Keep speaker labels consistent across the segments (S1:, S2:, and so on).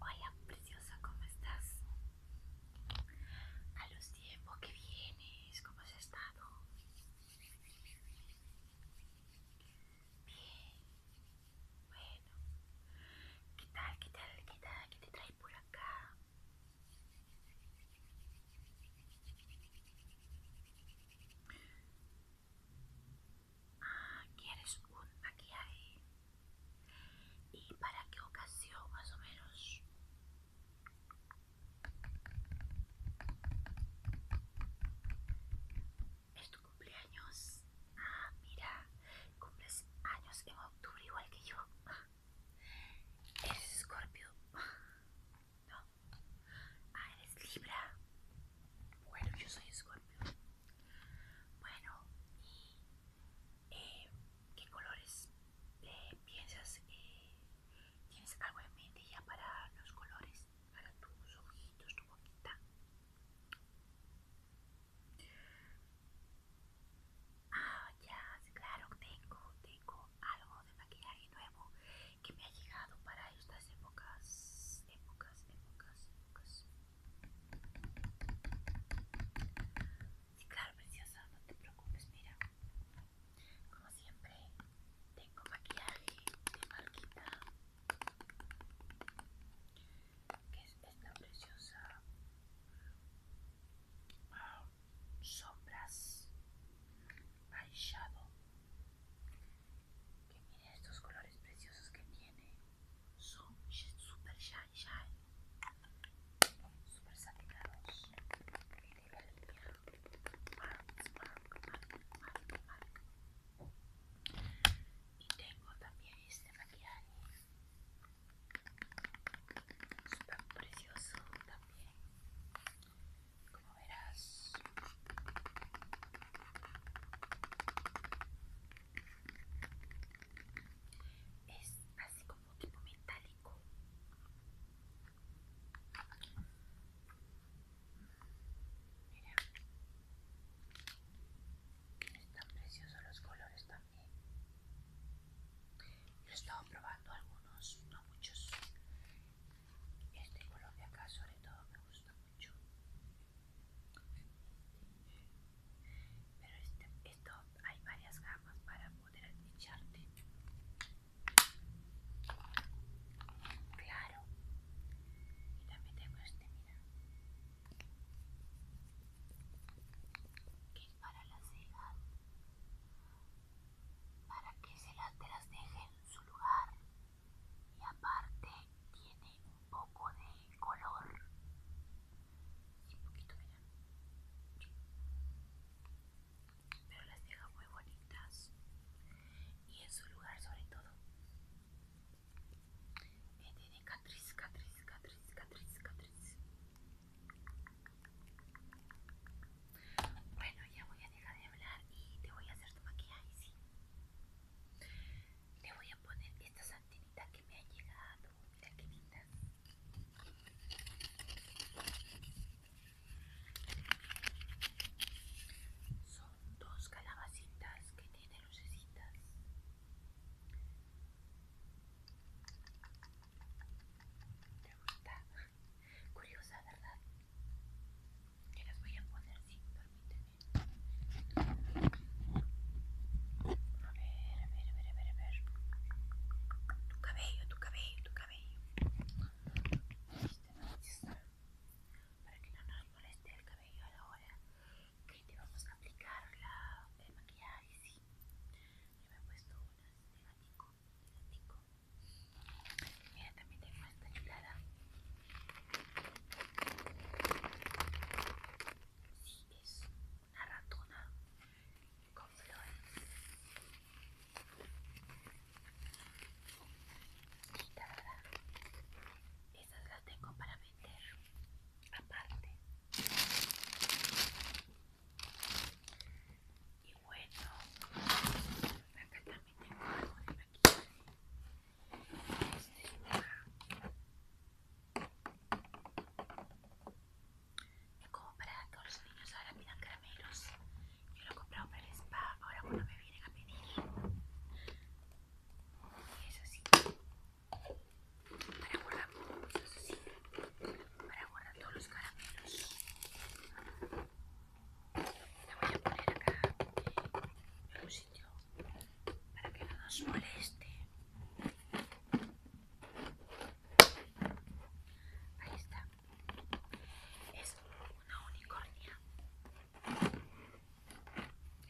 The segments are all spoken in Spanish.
S1: Hola preciosa, ¿cómo estás? A los tiempos que vienes, ¿cómo has estado? Bien, bueno, ¿qué tal, qué tal, qué tal, qué te trae por acá? Ah, ¿quieres un maquillaje? ¿Y para qué ocasión más o menos? ¿Es tu cumpleaños? Ah, mira, cumples años en octubre igual que yo. Ah, ¿Eres escorpio? Ah, no, Ah, eres Libra. Bueno, yo soy Escorpio. Bueno, ¿y eh, qué colores eh, piensas? que eh, ¿Tienes algo en mente ya para los colores? Para tus ojitos, tu boquita. Ah, ya, claro, tengo, tengo algo de maquillaje nuevo que me ha llegado para estas épocas, épocas, épocas, épocas. claro, preciosa, no te preocupes, mira. Como siempre, tengo maquillaje de marquita. Que es esta preciosa ah, sombras eyeshadow que miren estos colores preciosos que tiene. Son super shine shine. Super satinados. Y Y tengo también este maquillaje. Super precioso también como verás es así como tipo metálico mira están preciosos los colores también yo he estado probando algunos no muchos este de acá sobre todo me gusta mucho. Pero este, esto hay varias gamas para poder echarte. Claro. Y también tengo este, mira. Que es para la ceja para que se las, deje en su lugar y aparte tiene un poco de color y un poquito mira pero las deja muy bonitas y en su lugar sobre todo Tiene este catriz catriz catriz catriz catriz bueno, ya voy a dejar de hablar y te voy a hacer tu maquillaje, sí. Te voy a poner estas santinitas que me han llegado. Mira qué lindas. Son dos calabacitas que tienen lucecitas. ¿Te Curiosa, ¿verdad? Que las voy a poner, sí, permíteme. A ver, a ver, a ver, a ver, a ver. Tu cabello, tu cabello, tu cabello. Para que no nos moleste el cabello a la hora que te vamos a aplicar la, el maquillaje, sí. Yo me he puesto unas de Mira, también tengo esta hilada. Sí, es una ratona con flores. Y es Esas las tengo para vender aparte y bueno acá también tengo algo de maquillaje este es como para todos los niños ahora pidan caramelos yo lo he comprado para el spa ahora cuando me vienen a pedir y es así para guardar eso para guardar todos los caramelos la voy a poner acá en un sitio para que no nos moleste. Ahí está. Es una unicornia.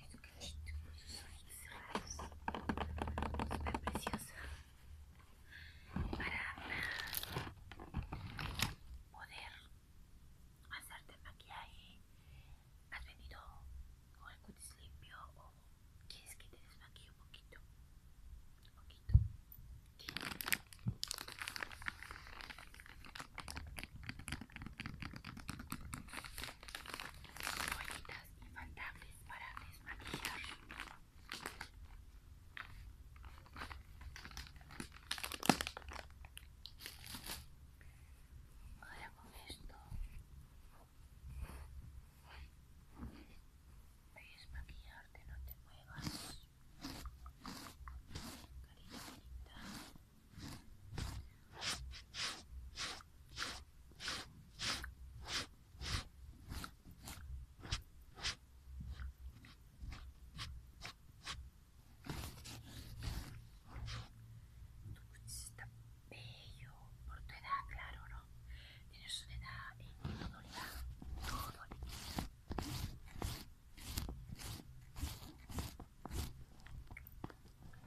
S1: Es un con sus ojos preciosa para poder hacerte el maquillaje. ¿Has venido con el cutis limpio o quieres que te desmaquille un poquito? Un poquito. ¿Sí? Toallitas para desmaquillar. Ahora con esto puedes maquillarte, no te muevas. Carita bonita. Tu cutis está bello por tu edad, claro, ¿no? Tienes una edad en todo le da, todo le queda.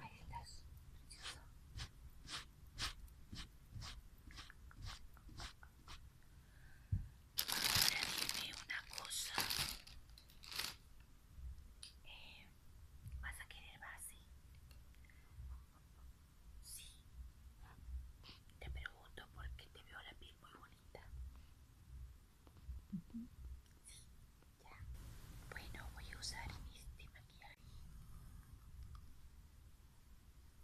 S1: Ahí estás, precioso. Ahora dime una cosa. Eh, ¿Vas a querer base? Sí. Te pregunto porque te veo la piel muy bonita. Sí, ya. Bueno, voy a usar este maquillaje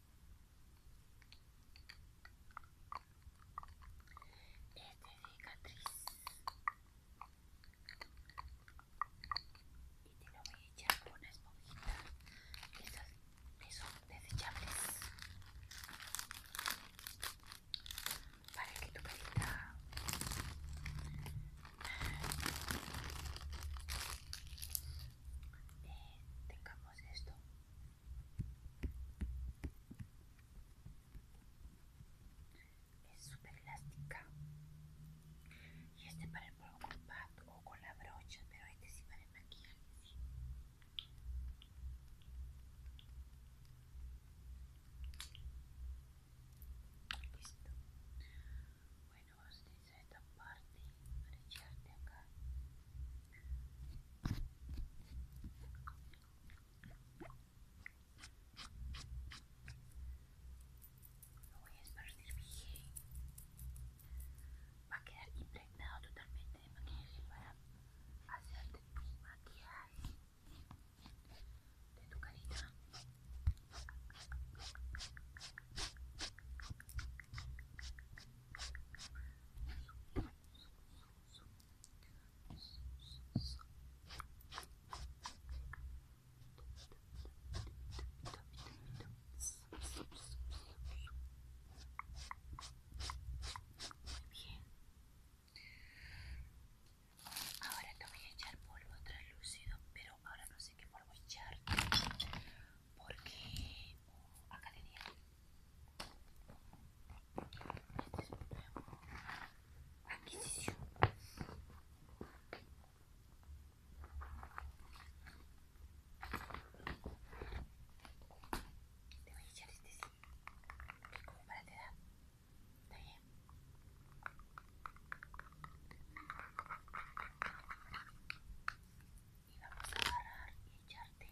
S1: este de cicatriz y te lo voy a echar con una esponjita esas que son desechables para que tu carita tengamos esto es súper elástica. Y este para el polvo compacto o con la brocha, pero este sí para el maquillaje. Listo. Bueno, vamos es esta parte. ordem para te atentar. No es partir bien. Va a quedar impregnado totalmente de maquillaje para hacerte tu maquillaje de tu carita. bien. Ahora te voy a echar polvo translúcido, pero ahora no sé qué polvo echar porque uh, acá este es un nuevo adquisición te voy a echar este sí que como para te da está bien y vamos a agarrar y echarte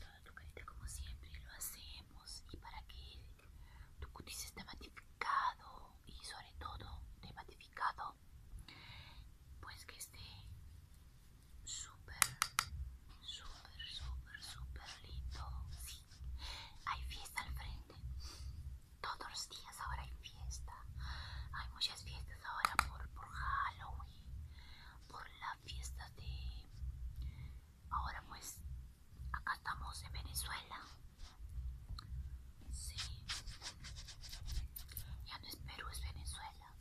S1: Toda tu carita como siempre lo hacemos y para que tu cutis está matificado y sobre todo matificado, pues que esté súper súper súper súper lindo sí hay fiesta al frente todos los días ahora hay fiesta hay muchas fiestas ahora por, Halloween por la fiesta de ahora pues acá estamos en Venezuela sí ya no es Perú es Venezuela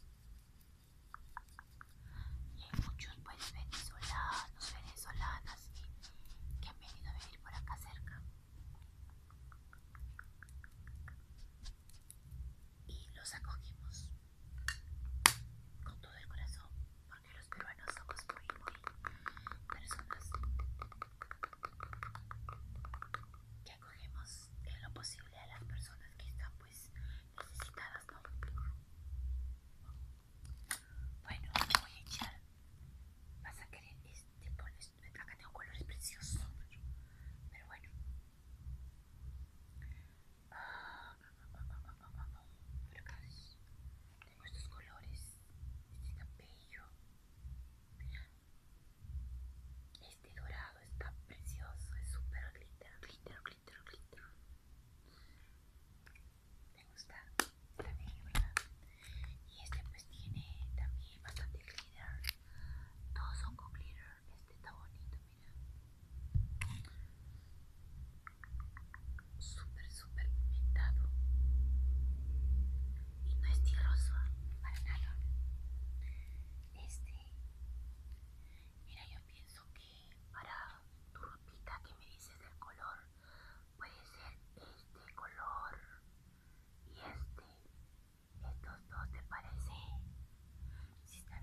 S1: y hay muchos pues venezolanos venezolanas que han venido a vivir por acá cerca y los acogimos con todo el corazón los peruanos somos muy, muy personas que acogemos en lo posible a las personas que están pues necesitadas, ¿no? Bueno, voy a echar, vas a querer este, esto acá tengo colores preciosos, pero bueno. Tengo estos colores, este cabello, este dorado está precioso, es súper glitter, glitter, glitter, glitter. Me gusta también, ¿verdad? Y este pues tiene también bastante glitter. Todos son con glitter. Este está bonito, mira super super pimentado y no es tierroso para nada. Este, mira, yo pienso que para tu ropita que me dices el color, puede ser este color y este. Estos dos te parece, si está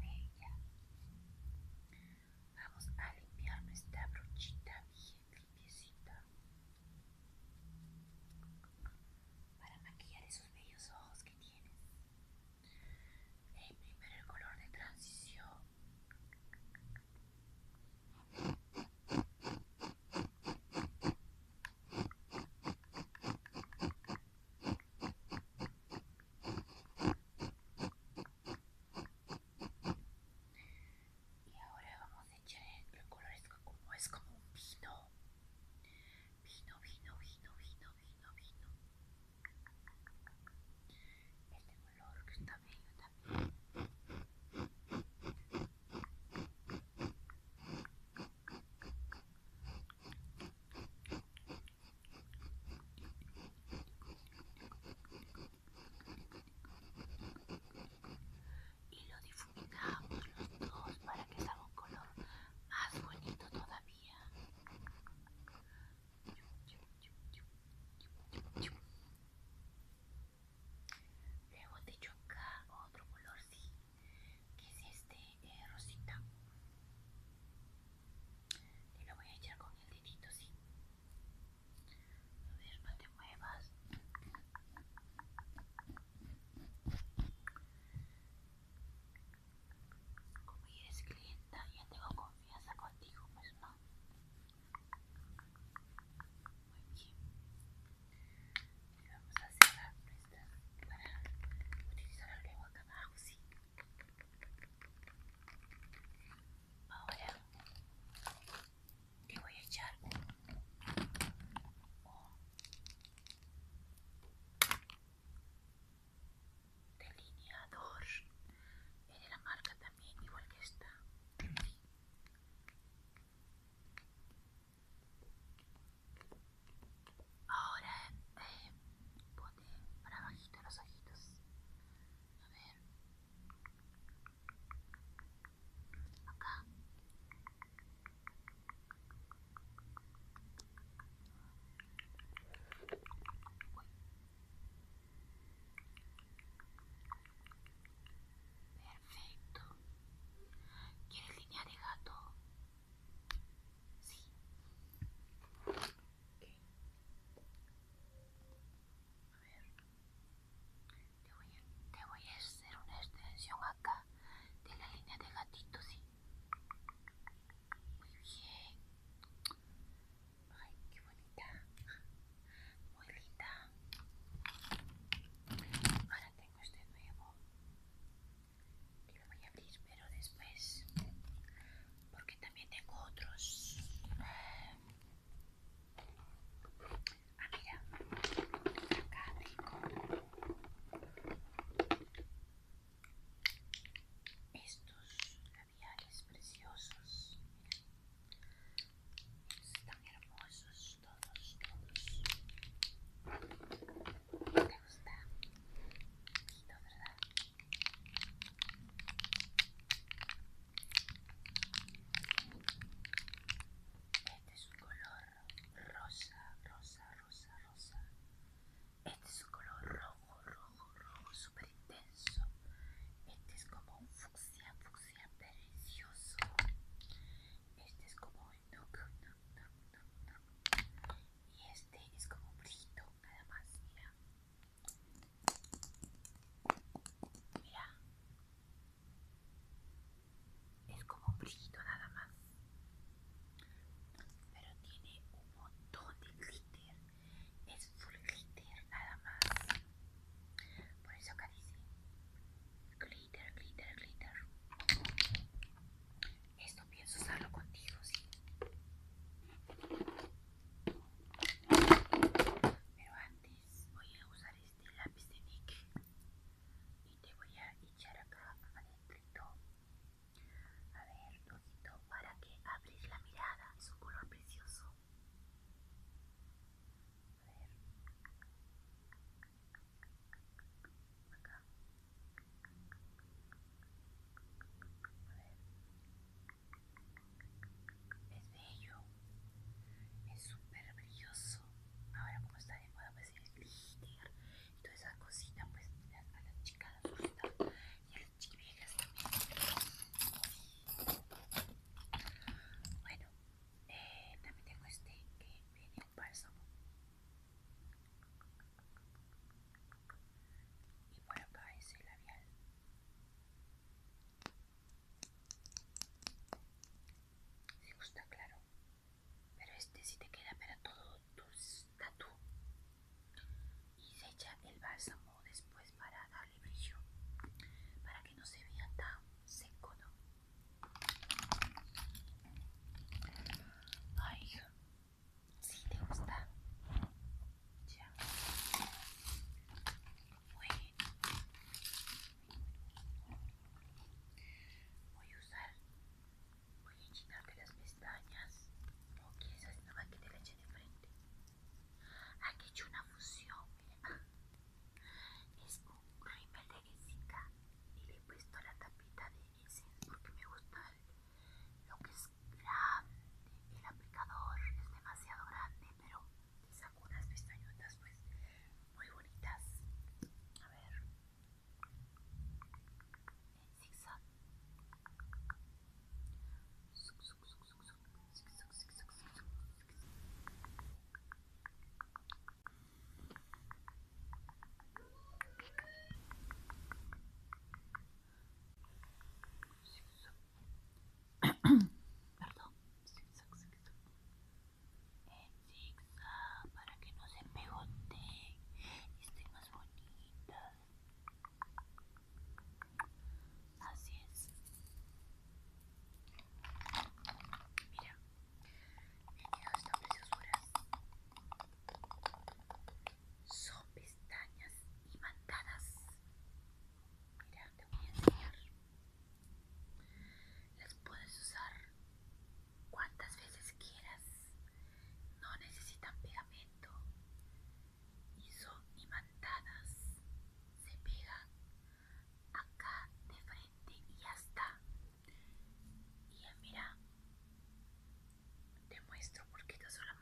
S1: Vamos a limpiar nuestra brochita bien limpiecita. Para maquillar esos bellos ojos que tienes. Eh, el primero color de transición. Y ahora vamos a echar el colores como es como un vino. Vino, vino, vino, vino, vino, vino. Este color que está bello también y lo difuminamos los dos para que salga un color más bonito todavía. Luego te echo acá otro color, sí, que es este eh, rosita. Te lo voy a echar con el dedito, sí. A ver, no te muevas. Como ya eres clienta, ya tengo confianza contigo, pues no. Muy bien. vamos a cerrar nuestras para utilizar el lengua acá abajo, sí. Ahora le voy a echar un delineador. de la marca también, igual que esta. Ahora eh, pone para abajito los ojitos. A ver acá perfecto ¿quieres línea de gato? sí a ver. Te voy, a, hacer una extensión acá de la línea de gatito, sí. Muy bien. Ay, qué bonita. Muy linda. Ahora tengo este nuevo. Y lo voy a abrir, pero después. Porque también tengo otros. Ah, mira, acá tengo estos labiales preciosos. Están hermosos todos, todos. ¿Te gusta? poquito, ¿verdad? Este es un color rosa, rosa, rosa, rosa. Este es un color rojo, rojo, rojo, súper intenso. Este es como un fucsia, fucsia precioso. Este es como un nuc, nuc, nuc, nuc, nuc. Y este es como un brillito, nada más, mira. Mira. Es como un brillito nada más. Pero tiene un montón de glitter. Es full glitter nada más. Por eso acá dice glitter, glitter, glitter. Esto pienso usarlo contigo, sí. Pero antes voy a usar este lápiz de Nick y te voy a echar acá adentrito. A ver, poquito para que abres la mirada. Es un color precioso. A ver. Acá. A ver. Es bello, es súper brilloso. Ahora, como está de moda, pues el glitter y todas esas cositas, pues las, a las chicas la y a las también. Bueno, eh, también tengo este que viene un bálsamo. Y por acá es el labial. Si gusta, claro. Pero este sí te queda para todo tu tatu. Y de el bálsamo después para darle brillo. Para que no se vea tan seco, ¿no? Ay, si te gusta. Ya. Bueno. Voy a usar. Voy a llenarte las pestañas. O quizás no van a te la de frente. Aquí he hecho una fusión. Es un rímel de guisita y le he puesto la tapita de essence porque me gusta lo que es grande, el aplicador es demasiado grande, pero te saco unas pestañitas pues muy bonitas. A ver, zigzag. Perdón, zig-zag, para que no se pegote y estén más bonitas. Así es. Mira, estas preciosuras. Son pestañas imantadas Mira, te voy a enseñar. Las puedes usar cuantas veces quieras. No necesitan pegamento. Y son imantadas. Se pegan acá de frente y ya está. Y mira, te muestro porque estas son las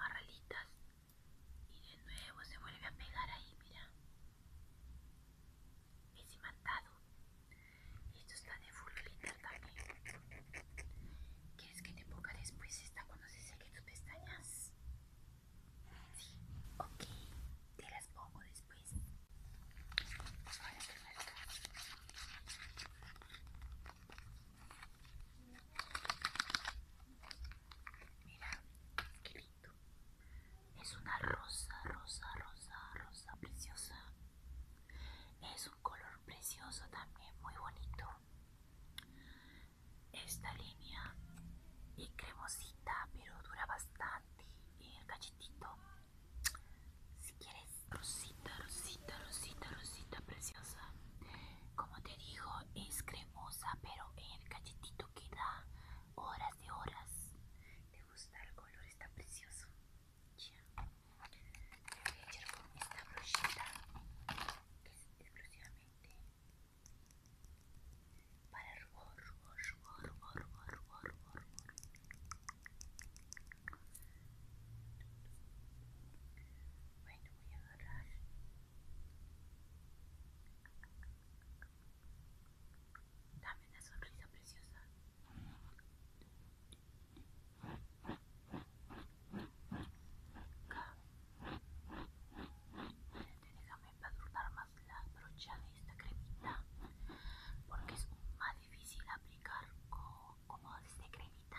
S1: y de nuevo se vuelve a pegar ahí, mira. Es imantado. Y esto está de full glitter también. ¿Quieres que te ponga después esta cuando se seque tus pestañas? Sí, ok. Te las pongo después. Ahora te Mira, qué lindo. Es una rosa, rosa, rosa, rosa preciosa. Es un color precioso también, muy bonito. Esta línea es cremosita, pero dura bastante Si quieres, rosita, rosita, rosita, rosita preciosa como te digo es cremosa pero en el cachetito queda horas de horas te gusta el color está precioso ya Me voy a echar con esta brochita que es exclusivamente para el... rubor rubor rubor bueno voy a agarrar Dame una sonrisa preciosa. Acá. Déjame empadurnar más la brocha de esta cremita porque es más difícil aplicar como, esta este cremita.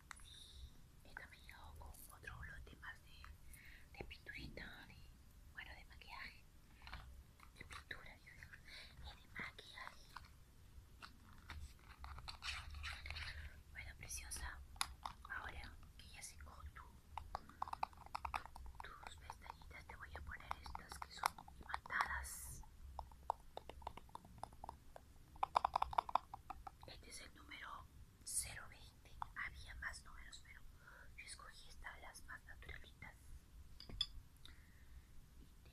S1: he también con otro lote más de, de pinturita, de, bueno, de maquillaje, de pintura, y de maquillaje. Bueno, preciosa, ahora que ya se tu, tus pestañitas, te voy a poner estas que son matadas. Este es el número 020 había más números pero yo escogí estas las más naturalitas y te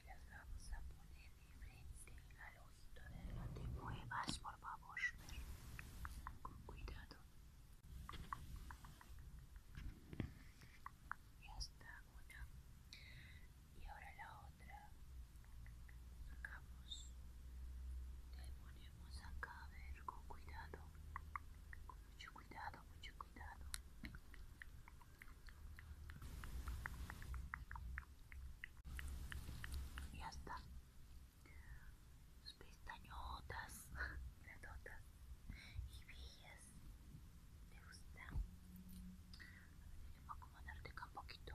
S1: las vamos a poner de frente al ojito de adelante muevas por favor con cuidado ya está una y ahora la otra sacamos del Vamos a ver, con cuidado, con mucho cuidado, mucho cuidado. Ya está. Sus pestañotas, grandotas y bellas. ¿Te gustan? A ver, tenemos a acomodarte un poquito.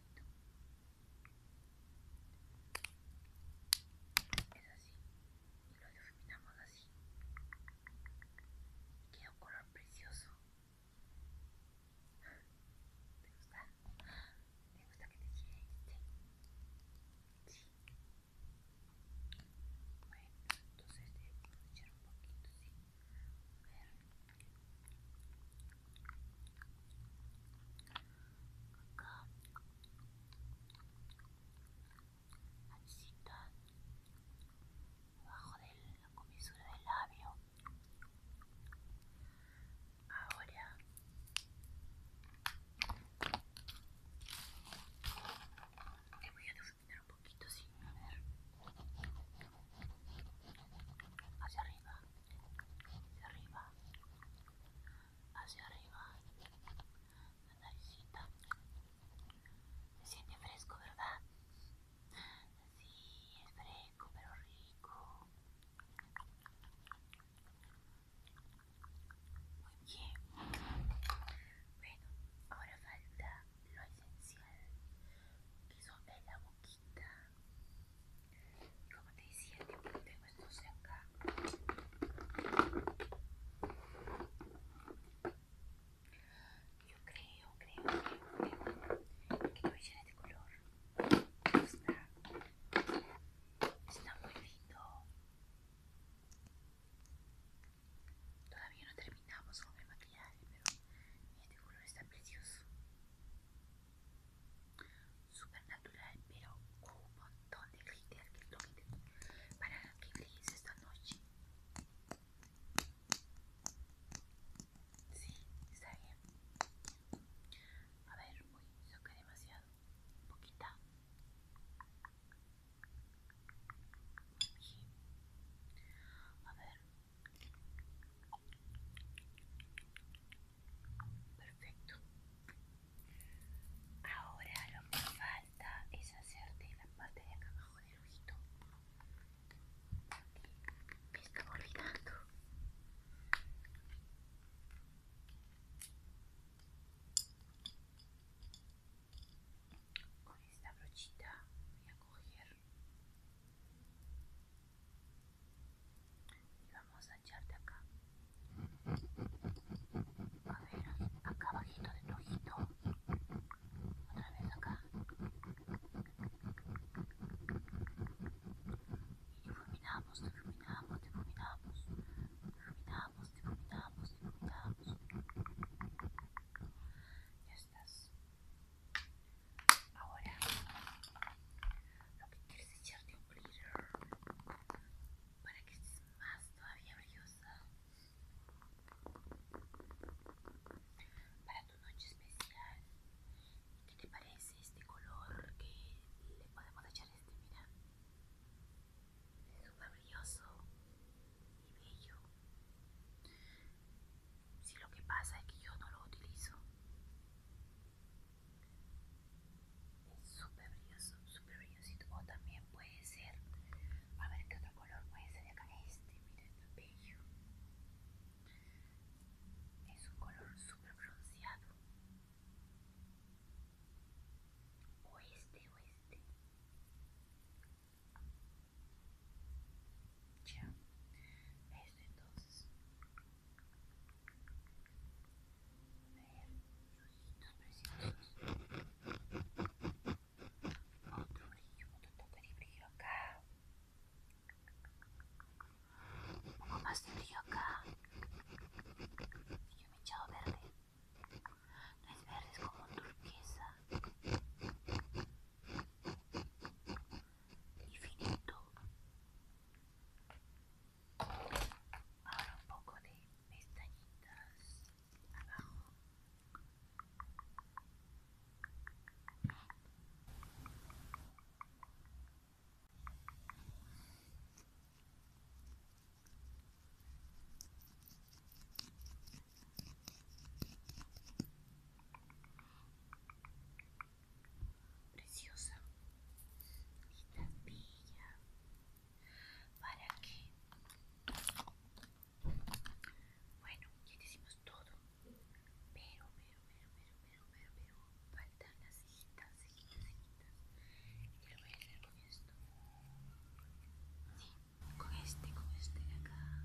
S1: es así. Y lo difuminamos así. Y queda un color precioso. ¿Te gusta? ¿Te gusta que te quede este? Sí. Bueno, entonces te eh, voy a echar un poquito, sí. Acá. Pancita. debajo de la comisura del labio. Ahora. le voy a difuminar un poquito sin sí, ver hacia arriba, hacia arriba, hacia arriba, la naricita. Se siente fresco, ¿verdad? Sí, es fresco, pero rico. Muy bien. Bueno, ahora falta lo esencial, que son en la boquita. Y como te decía, que tengo estos de acá. Yo creo, creo, creo, creo que voy a de este color. Está, está muy lindo. Todavía no terminamos con el maquillaje, pero este color está precioso. Supernatural, pero un montón de glitter que lo para que brilles esta noche. Sí, está bien. A ver, uy, que demasiado. Poquita. A ver, Perfecto. Ahora lo que falta es hacerte la parte de acá abajo del ojito. Me está olvidando. Con esta brochita voy a coger y vamos a echar de acá. A ver, acá abajito de tu ojito. Otra vez acá. Y difuminamos, difuminamos, difuminamos. Difuminamos, difuminamos, difuminamos. Ahora, lo que quieres es echarte un glitter para que estés más todavía brillosa. Para tu noche especial, ¿qué te parece este color que le podemos echar este? Mira, es súper brilloso y bello. Si lo que pasa es que yo no lo utilizo. Es súper brilloso, súper brillosito. O también puede ser, a ver qué otro color puede ser acá. Este, miren, bello. Es un color súper bronceado O este, o este. Ya, esto entonces. A ver, preciosos Otro brillo, otro toque de brillo acá. Un poco más de brillo acá. yo me he echado verde. No es verde, es como turquesa infinito. Ahora un poco de pestañitas abajo. Preciosa. Y la pilla ¿Para qué? Bueno, ya decimos todo. Pero, pero, pero, pero, pero, pero, pero faltan las cejitas, cejitas, cejitas. Y lo voy a hacer con esto. Sí, con este, con este de acá.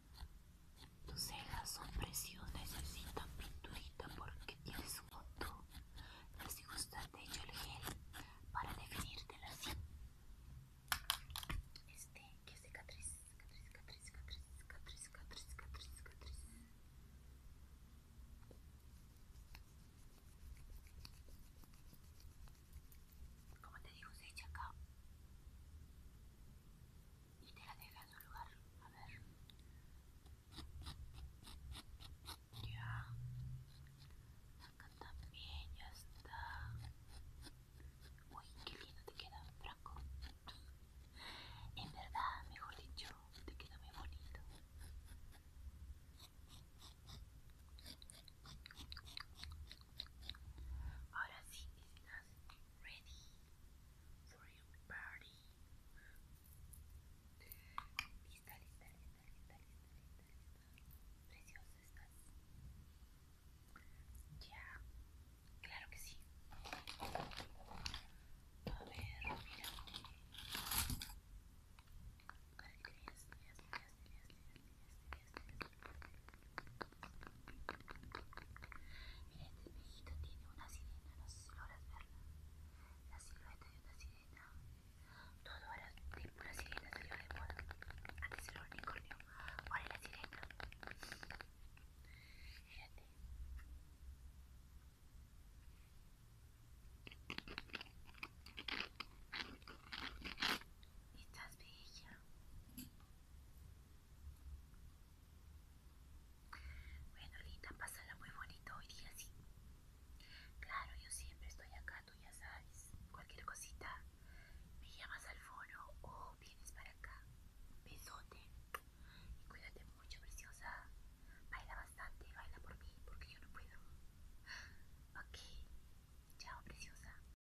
S1: Tus cejas son preciosas, necesitan pinturita porque tienes un montón. Les gusta de hecho el gel para definirte así. Este, que es cicatriz, cicatriz, cicatriz, cicatriz, cicatriz, cicatriz, cicatriz, cicatriz. Como te digo, se echa acá y te la deja en su lugar. A ver. Ya. Acá también ya está. Uy, qué lindo te queda, Franco. En verdad, mejor dicho, te queda muy bonito. Ahora sí, just ready for your party. Preciosa estás. Ya, claro que sí. A ver, mira. Mira, este espejito tiene una sirena, no sé si logras verla. La silueta de una sirena. Todo ahora una sirena salió de moda. Antes era un unicornio, ahora es la sirena. Fíjate. Estás bella. Bueno, linda, pásala muy bonito hoy día, sí. Claro, yo siempre estoy acá, tú ya sabes. Cualquier cosita, me llamas al foro o vienes para acá. Besote. Y cuídate mucho, preciosa. Baila bastante, baila por mí, porque yo no puedo. Ok. Chao, preciosa.